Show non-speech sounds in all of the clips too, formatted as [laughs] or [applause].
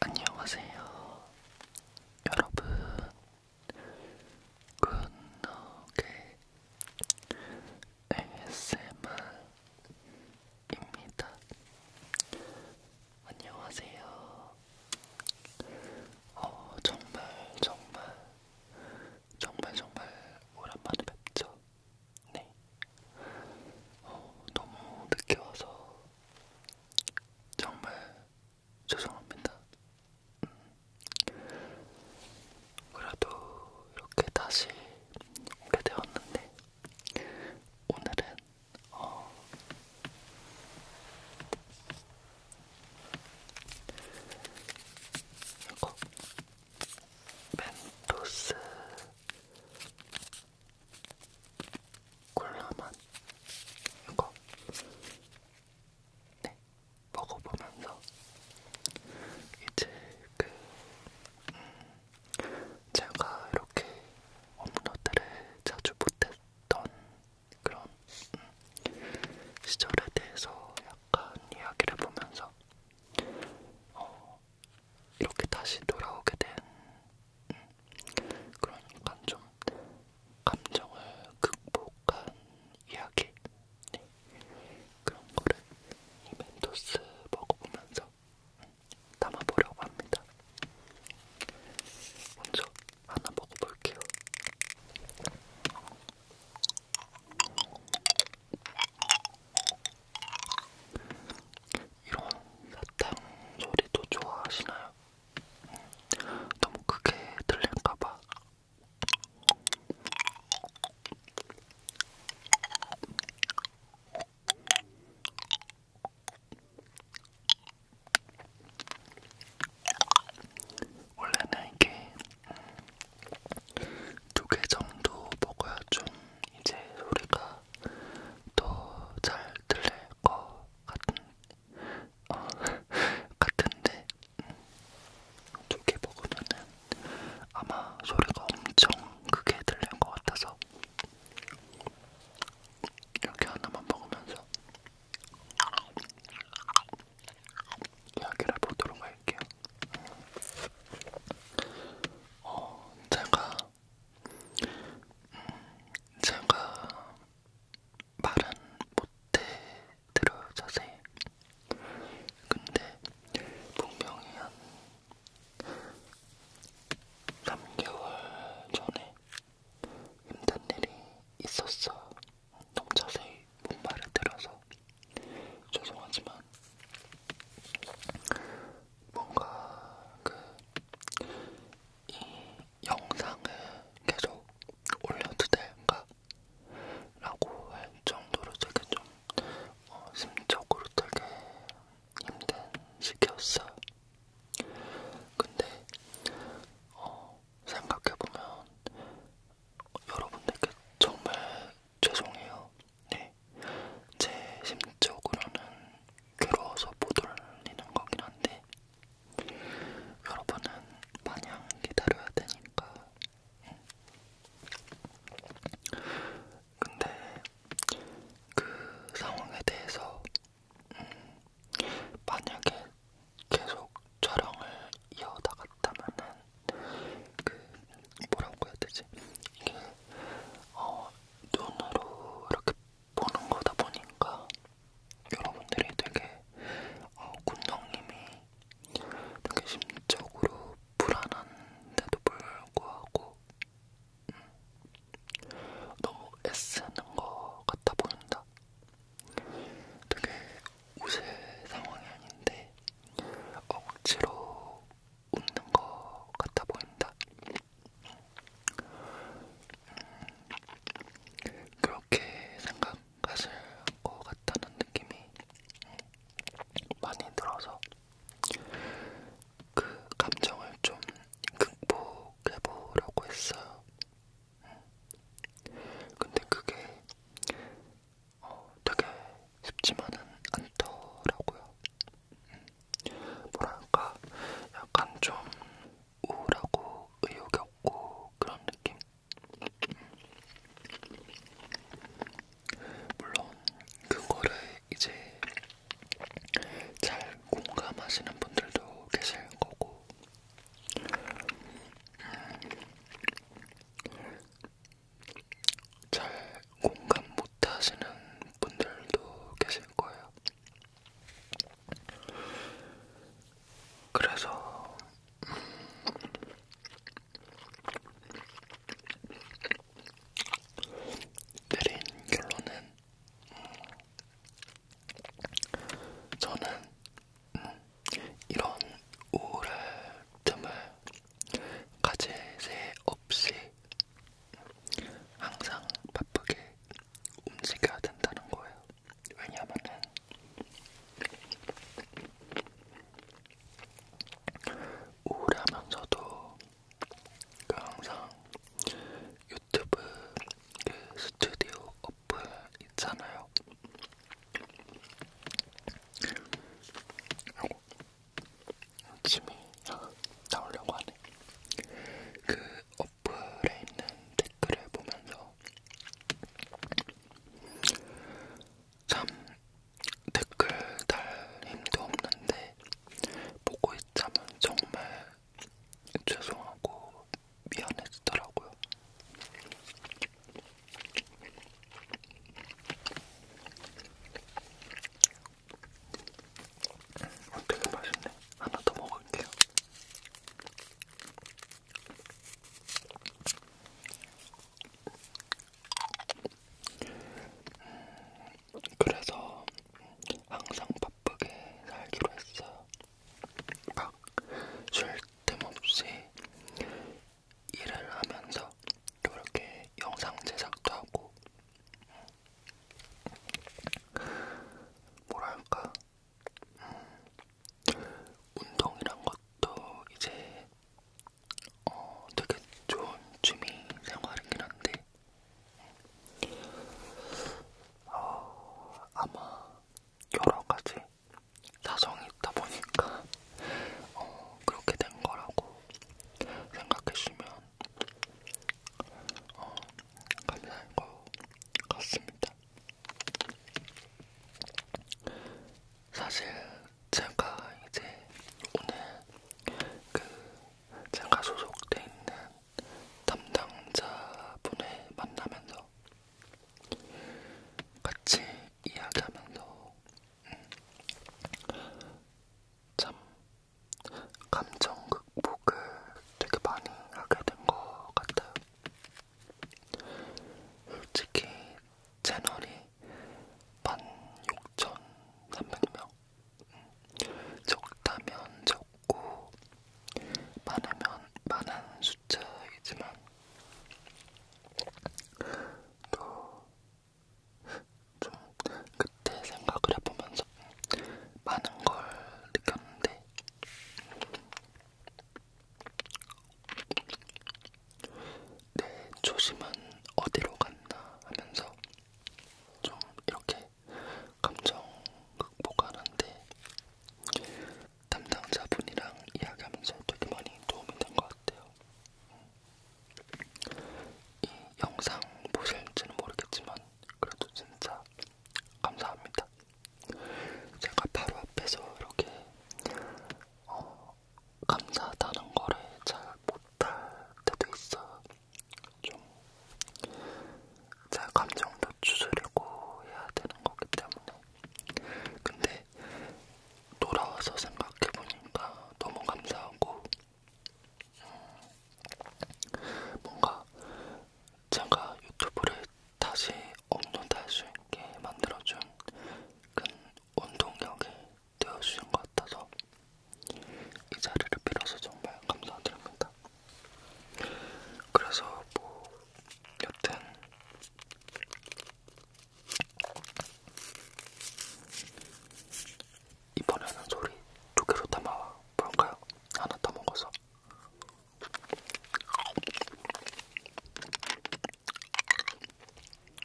안녕하세요. 여러분, 굿노게 ASMR입니다. 안녕하세요. 어, 정말, 정말, 정말, 정말 오랜만에 뵙죠. 네. 어, 너무 늦게 와서 정말 죄송합니다. 음. 그래도 이렇게 다시 오게 되었는데 오늘은 어 이거 멘토스 콜라맛 이거 네 먹어보면서 이제 그 음, 제가 이렇게 업로드를 자주 못했던 그런 음, 시절에 대해서 약간 이야기를 보면서 어, 이렇게 다시 돌아오게 된 그러니까 좀 감정을 극복한 이야기 네. 그런 거를 이 멘토스 먹어보면서 담아보려고 합니다. 먼저 하나 먹어볼게요. 이런 사탕 소리도 좋아하시나요? 음, 너무 크게 들릴까봐. 원래는 이게 두 개 정도 먹어야 좀 이제 소리가 더 잘 들릴 것 같은 어, [laughs] 같은데 음, 두개 먹으면은 아마 소리가 엄청 크게 들릴 것 같아서 이렇게 하나만 먹으면서 이야기를 해보도록 할게요. 어, 제가 제가 말은 못해 들어요 자세히. 근데 분명히 한 3개월 전에 힘든 일이 있었어. 너무 자세히 못 말을 들어서 죄송하지만 뭔가 그이 영상을 계속 올려도 될까? 라고 할 정도로 되게 좀 어, 심적으로 되게 힘든 시기였어요. 근데 어, 생각해보면 여러분들께 정말 죄송해요. 네. 제 심적으로는 괴로워서 못 올리는 거긴 한데 여러분은 마냥 기다려야 되니까 근데 그 상황에 대해서 음, 만약에 계속 촬영을 이어나갔다면은 그 뭐라고 해야 되지 이게 어 눈으로 이렇게 보는 거다 보니까 여러분들이 되게 어, 군성님이 되게 심적으로 불안한데도 불구하고 음, 너무 애쓰는 거 같아 보인다. 되게 우세 상황이 아닌데 억지로 웃는 거 같아 보인다. 그렇게 생각하실 것 같다는 느낌이 많이 들어서 그 감정을 좀 극복해보려고 했어요. 근데 그게 어, 되게 쉽지만은 않더라고요. 음. 뭐랄까 약간 좀 우울하고 의욕이 없고 그런 느낌? 물론 그거를 이제 잘 공감하시는 분들도 계실 거고 음, 잘 공감 못하시는 분들도 계실 거예요. 그래서 내린 결론은 저는 이런 우울을 틈을 가질 새 없이 항상 바쁘게 움직여야 된다는 거예요. 왜냐면은 우울하면서도 그 항상 유튜브 그 스튜디오 어플 있잖아요. 침이 [laughs] 나오려고 하네. 그 어플에 있는 댓글을 보면서 참 댓글 달 힘도 없는데 보고 있자면 정말 죄송하고 미안해지더라고요. 되게 맛있네. 하나 더 먹을게요. 그래서 항상 바쁘게 살기로 했어요. 막쉴 틈없이 일을 하면서 이렇게 영상 제작도 하고 뭐랄까 음, 운동이란 것도 이제 어, 되게 좋은 취미 생활이긴 한데 어, 아마 여러 가지 사정이 있다 보니까 어, 그렇게 된 거라고 생각해주면 어, 감사한 것 같습니다. 사실 제가 이제 오늘 그 제가 소속돼 있는 담당자분을 만나면서 같이 이야기하면서 음, 참 감정 극복을 되게 많이 하게 된것 같아요. 솔직히 채널이 16,300명 적다면 적고 많으면 많은 숫자이지만 또좀 그 그때 생각을 해보면서 많은 걸 느꼈는데 내 초심은 어디로 갔나 하면서 좀 이렇게 감정 극복하는데 담당자분이랑 이야기하면서 되게 많이 도움이 된 것 같아요. 이 영상 보실지는 모르겠지만 그래도 진짜 주셔서 감사합니다. 제가 바로 앞에서 이렇게 어, 감사하다는 거를 잘 못할 때도 있어요. 좀제 감정도 추스리고 해야 되는 거기 때문에. 근데 돌아와서 생각해보니까 너무 감사하고 뭔가 제가 유튜브를 다시 업로드할 수 있게 만들어준 큰 원동력이 되어주신 것 같아서 이 자리를 빌어서 정말 감사드립니다. 그래서 뭐 여튼 이번에는 소리 두 개로 담아와 볼까요? 하나 더 먹어서.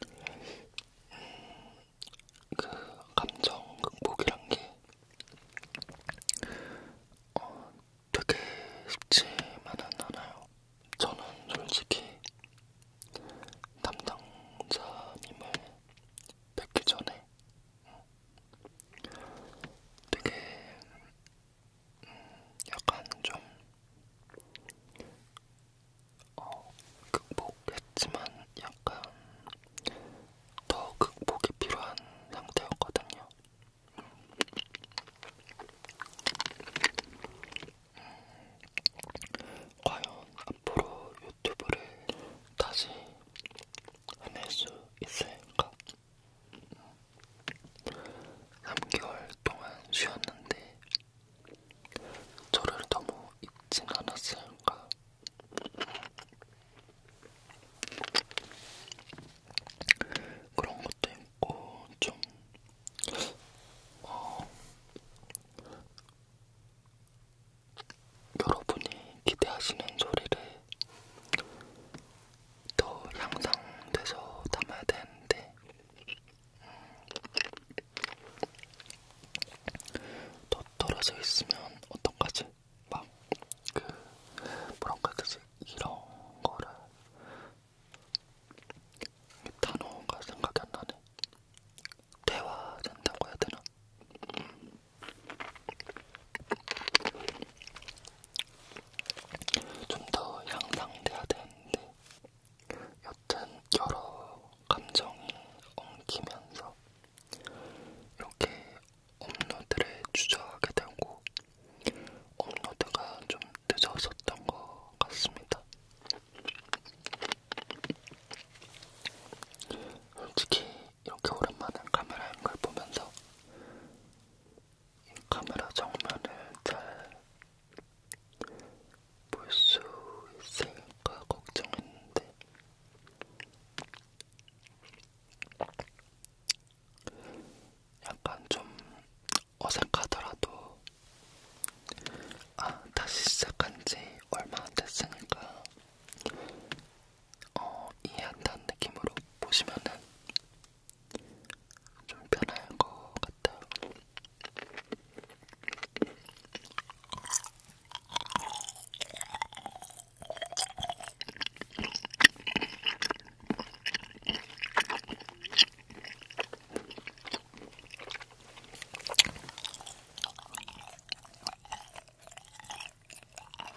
음, 그 감정 극복이란 게 어, 되게 쉽지만은 않아요. 저는 솔직히 담당자님을 뵙기 전에 되게 음, 약간 좀 어, 극복했지만 약간 더 극복이 필요한 상태였거든요. 음, 과연 앞으로 유튜브를 다시 해낼 수 있을까? 3개월 동안 쉬었는데 저를 너무 잊진 않았을까? 그런 것도 있고 좀 어, 여러분이 기대하시는 소리를 더 향상돼서 담아야 되는데 음, 더 떨어져 있으면 어떤가지? 막 그 뭐랄까 그지 이런 거를 단어가 생각이 안 나네. 대화된다고 해야 되나? 좀더 향상돼야 되는데 여튼 여러 감정이 엉키면서 이렇게 업로드를 주저하게 되고 업로드가 좀 늦어졌던 것 같습니다. 솔직히 이렇게 오랜만에 카메라인 걸 보면서 이 카메라 정면을 잘 볼 수 있을까 걱정했는데 약간 좀 어색하더라도 아 다시 시작한지 얼마 안 됐으니까 어, 이해한다는 느낌으로 보시면은 좀 편할 것 같아요.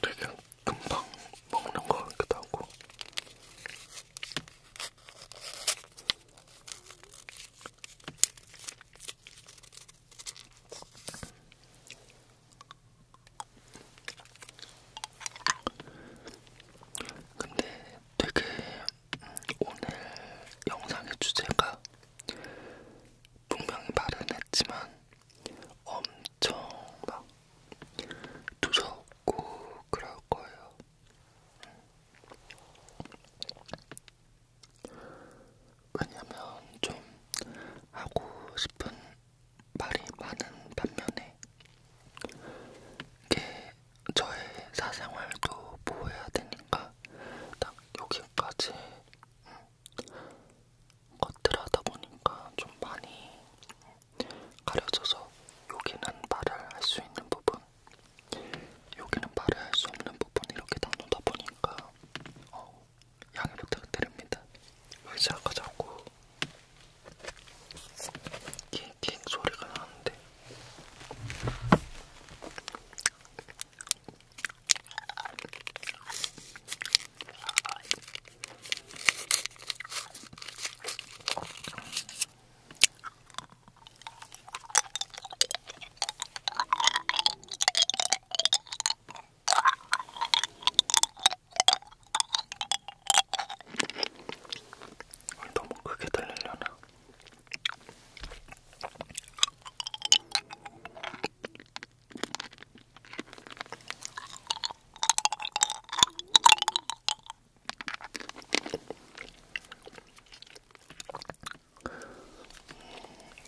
되게 금방 먹는 것 같기도 하고 근데 되게 오늘 영상의 주제가 분명히 말은 했지만 엄청 막 두서없고 그럴 거예요. 왜냐면 좀 하고 싶은 말이 많은 반면에 이게 저의 사생활도 보호해야 되니까 딱 여기까지 음, 것들 하다 보니까 좀 많이 가려져서 여기는 말을 할 수 있는 부분, 여기는 말을 할 수 없는 부분 이렇게 나누다 보니까 어, 양해 부탁드립니다. 의자가 자꾸 킹킹 소리가 나는데 아, 너무 크게 들리려나?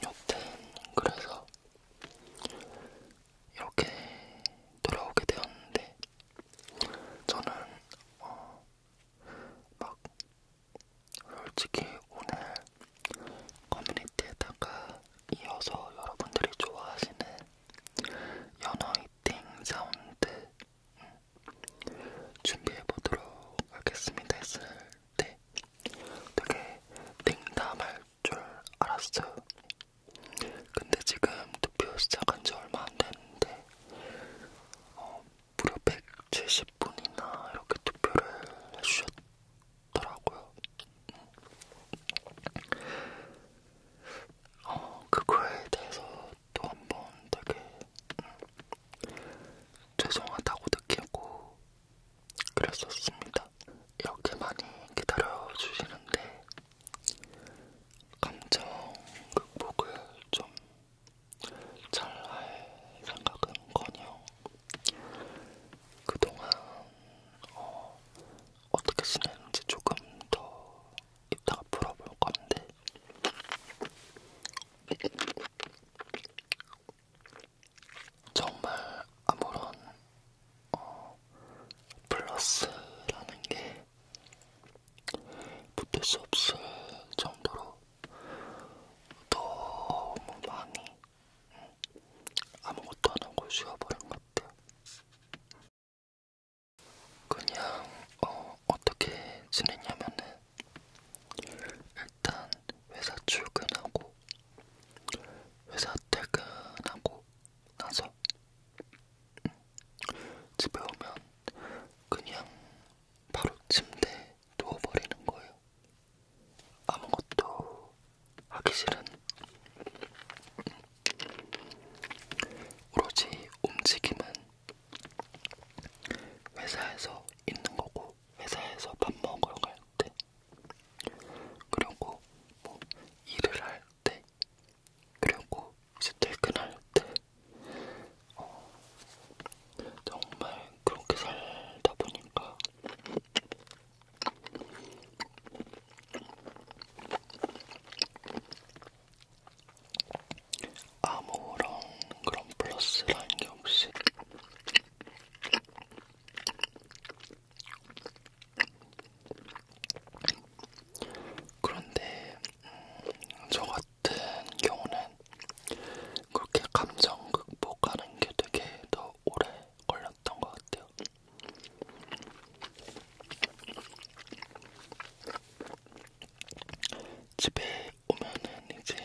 여튼 그래서 이렇게 돌아오게 되었는데 저는 어, 막 솔직히 오늘 커뮤니티에다가 이어서 여러분들이 좋아하시는 연어이팅 사운드 음, 준비해보도록 하겠습니다 했을 때 되게 냉담할 줄 알았어요. 근데 지금 투표 시작한 지 얼마 안 됐는데 어, 무려 170분이나 이렇게 투표를 해주셨 더라고요. 어, 그거에 대해서 또한번 되게 음, 죄송하다고 느끼고 그랬었습니다. 이렇게 많이 기다려주시는데 감정 극복을 좀잘할 생각은 커녕 그동안 어, 어떻게 지내는지 조금 더 이따가 풀어볼 건데 정말 아무런 어, 플러스라는 게 붙을 수 없을 정도로 너무 많이 아무것도 안 하고 쉬어버린 것 같아. 그냥 어, 어떻게 지내냐면은 일단 회사 출근하고 회사 퇴근하고 나서 음, 집에 오면 그냥 바로 침대에 누워버리는 거예요. 아무것도 하기 싫은 오로지 움직임은 회사에서 있는 거고 회사에서 밥 먹으러 갈때 그리고 뭐 일을 할 때 그리고 이제 퇴근할 때 어, 정말 그렇게 살다 보니까 아무런 그런 플러스라는 게 없이 그런데 음, 저 같은 경우는 그렇게 감정 극복하는 게 되게 더 오래 걸렸던 것 같아요. 집에 오면은 이제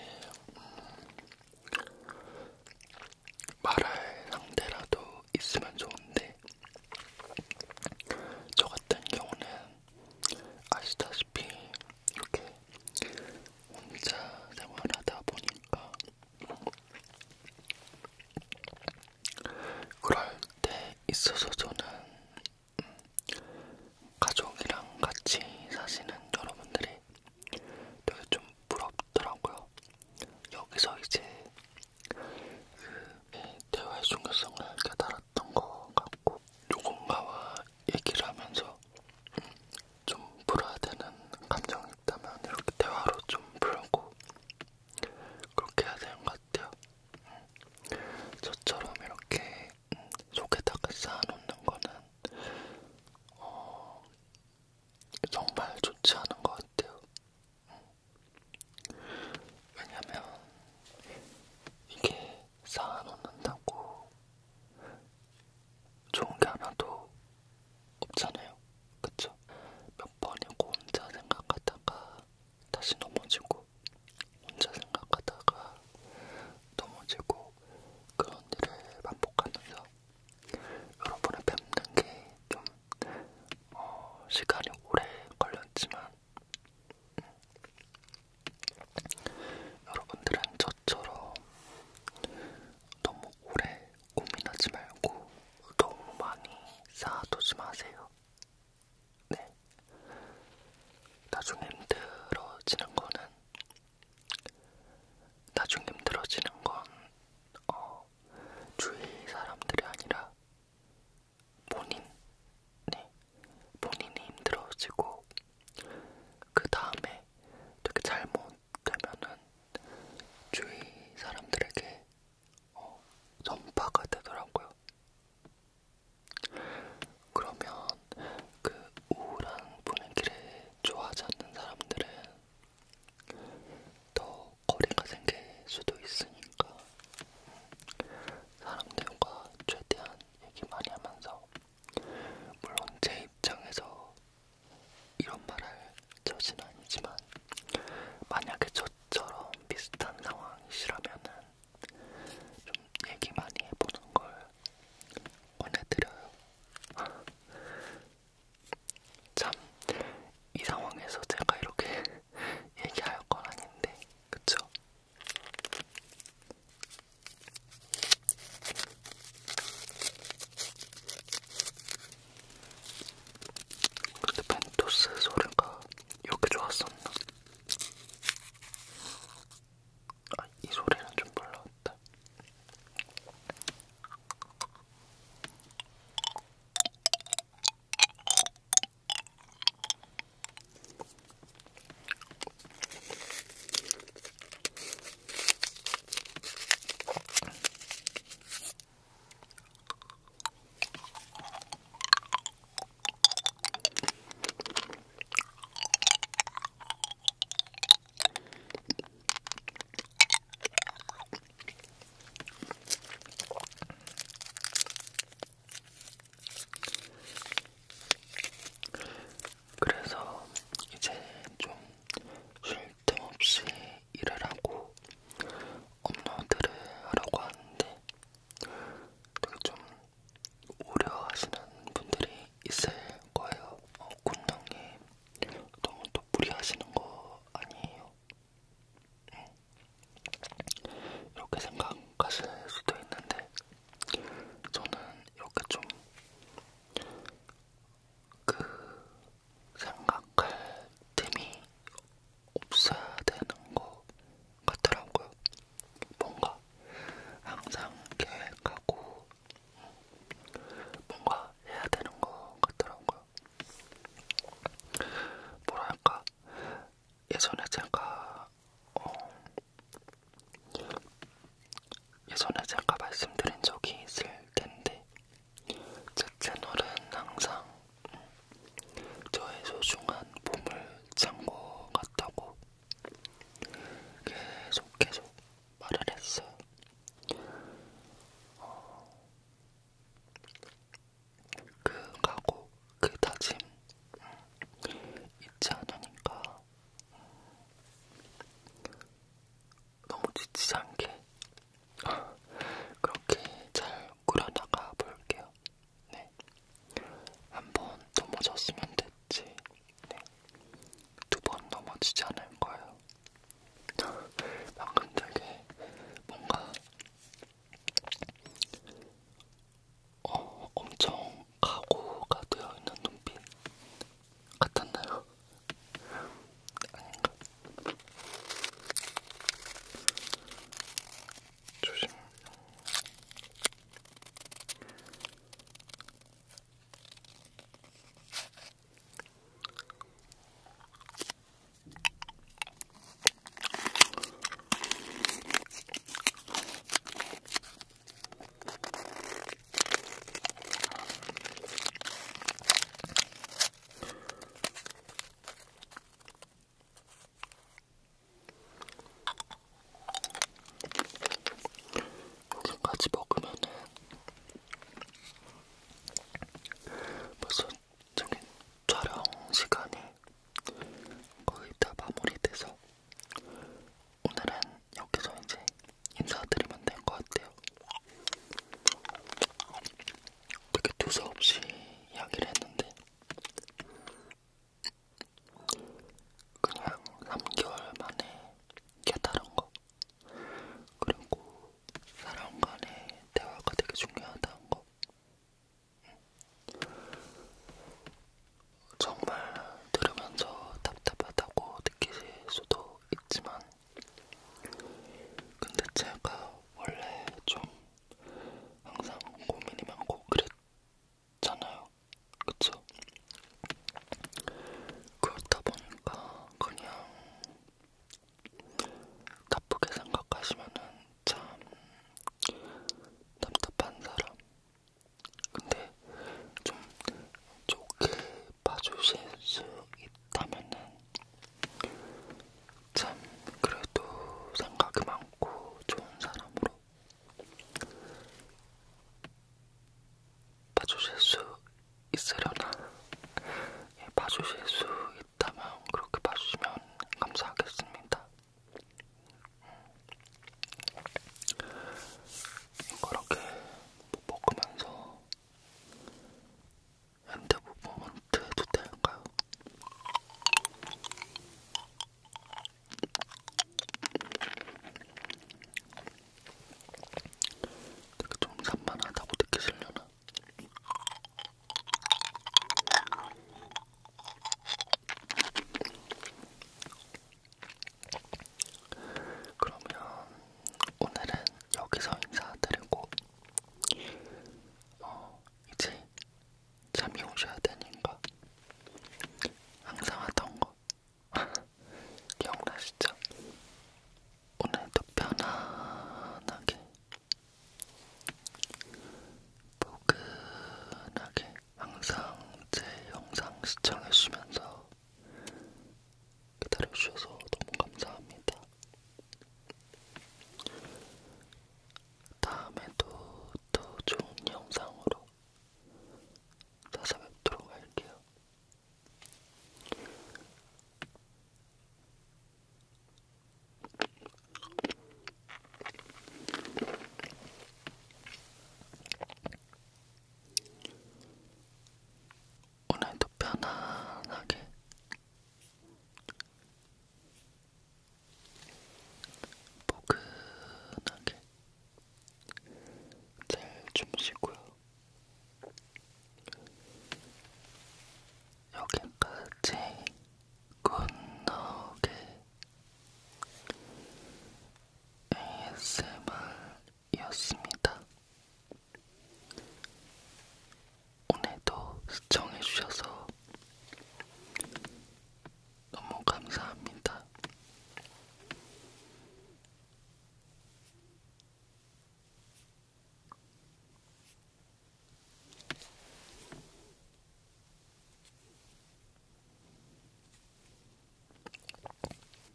말할 상대라도 있으면 좋은데 저 같은 경우는 아시다시피 이렇게 혼자 생활하다 보니까 그럴 때 있어서 저는 음, 가족이랑 같이 사시는 여러분들이 되게 좀 부럽더라고요. 여기서 이제 그 대화의 중요성을 깨달았던 것 같고 누군가와 얘기를 하면서 좀 풀어야 되는 감정이 있다면 이렇게 대화로 좀 풀고 그렇게 해야 되는 것 같아요. 음, 저처럼 이렇게 음, 속에다가 쌓아놓는 거는 어, 정말 좋지 않은 것 같아요. 음, 왜냐면 이게 쌓아놓는다고 좋은 게 하나도 없잖아요. 그쵸? 몇 번이고 혼자 생각하다가 다시 넘어지고 혼자 생각하다가 넘어지고 그런 일을 반복하면서 여러분을 뵙는 게좀 어, 시간이 오래 걸렸지만 음. 여러분들은 저처럼 너무 오래 고민하지 말고 너무 많이 쌓아두지 마세요. 네. 나중에 힘들어지는 거는 나중에 힘들어지는 건 어, 주위 사람들이 아니라 본인, 네, 본인이 힘들어지고 그 다음에 되게 잘못 되면은 주위 사람들에게 어, 전파가 되더라고요. 그러면 그 우울한 분위기를 좋아하지 않는 사람들은 더 거리가 생길 수도 있으니까 사람들과 최대한 얘기 많이 하면서 물론 제 입장에서 이런 말을 저진 아니지만 만약에 저처럼 비슷한 상황이시라면은 좀 얘기 많이 해보는 걸 권해드려요. 참, 이 상황에서 제가 이렇게 [laughs] 얘기할 건 아닌데, 그쵸? 근데 벤토스 소리가 이렇게 좋았었나? 아, 이 소리는 좀 몰랐다. 그래서 이제 좀쉴 틈없이 일을 하고 업로드를 하려고 하는데 되게 좀 우려하시는 분들이 있을 거예요. 어, 군형님 너무 또 무리하시는 거 아니에요? 응. 이렇게 생각하실 수도 있는데 저는 이렇게 좀그 생각할 틈이 없어야 되는 것 같더라고요. 뭔가 항상 계획하고 뭔가 해야 되는 것 같더라고요. 뭐랄까 예전에 제가 어, 예전에 제가 말씀드린 적이 있을 텐데 제 채널은 항상 저의 소중한 봄을 참고 같다고 계속 계속 말을 했어요. 어, 그 각오, 그 다짐 잊지 않으니까 너무 지치지 않게 그렇게 잘 꾸려나가 볼게요. 네. 한 번 넘어졌으면 됐지. 네. 두 번 넘어지지 않을 거예요. [laughs] 방금 되게 뭔가 어, 엄청 각오가 되어 있는 눈빛 같았나요? 아닌가? 조심. 여기까지 먹으면은 벌써 저기 촬영 시간이 거의 다 마무리돼서 오늘은 여기서 이제 인사드리면 될 것 같아요. 되게 두서없이 이야기를 했는데 그냥 3개월 만에 깨달은 거 그리고 사람 간의 대화가 되게 중요하다는 거 정말 들으면서 답답하다고 느끼실 수도 있지만 근데 제가 원래 좀 항상 고민이 많고 그랬잖아요. 그쵸? 그렇다 보니까 그냥 나쁘게 생각하시면은 참 답답한 사람. 근데 좀 좋게 봐주실 수 있다면은 참 그래도 생각이 많고 좋은 사람으로 봐주실 수 있으려나? 예, 봐주실 수 있다면 그렇게 봐주시면 감사하겠습니다. 이렇게 음. 뭐 먹으면서 핸드모먼트 해도 될까요? 되게 좀 산만하다고 느끼시려나? 그러면 오늘은 여기서 인사드리고 어, 이제 잠이 오셔야 되니까 항상 하던 거 [laughs] 기억나시죠? 오늘도 편안하게 포근하게 항상 제 영상 시청해주시면서 기다려주셔서 너무 감사합니다. 다음에도 더 좋은 영상으로 찾아뵙도록 할게요. 오늘도 편안하게 포근하게 잘 주무시고요. 여기까지 굿노게 ASMR이었습니다. 오늘도 시청해주셔서 너무 감사합니다.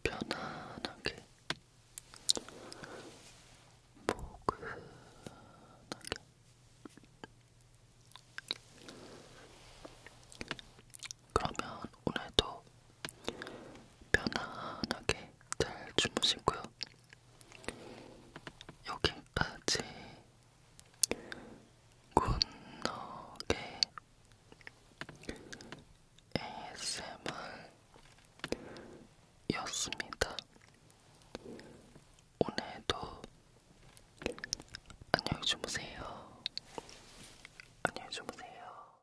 편안하게 포근하게 그러면 오늘도 편안하게 잘 주무시고요. 여기까지 굿노게 ASMR 였습니다. 오늘도 안녕히 주무세요. 안녕히 주무세요.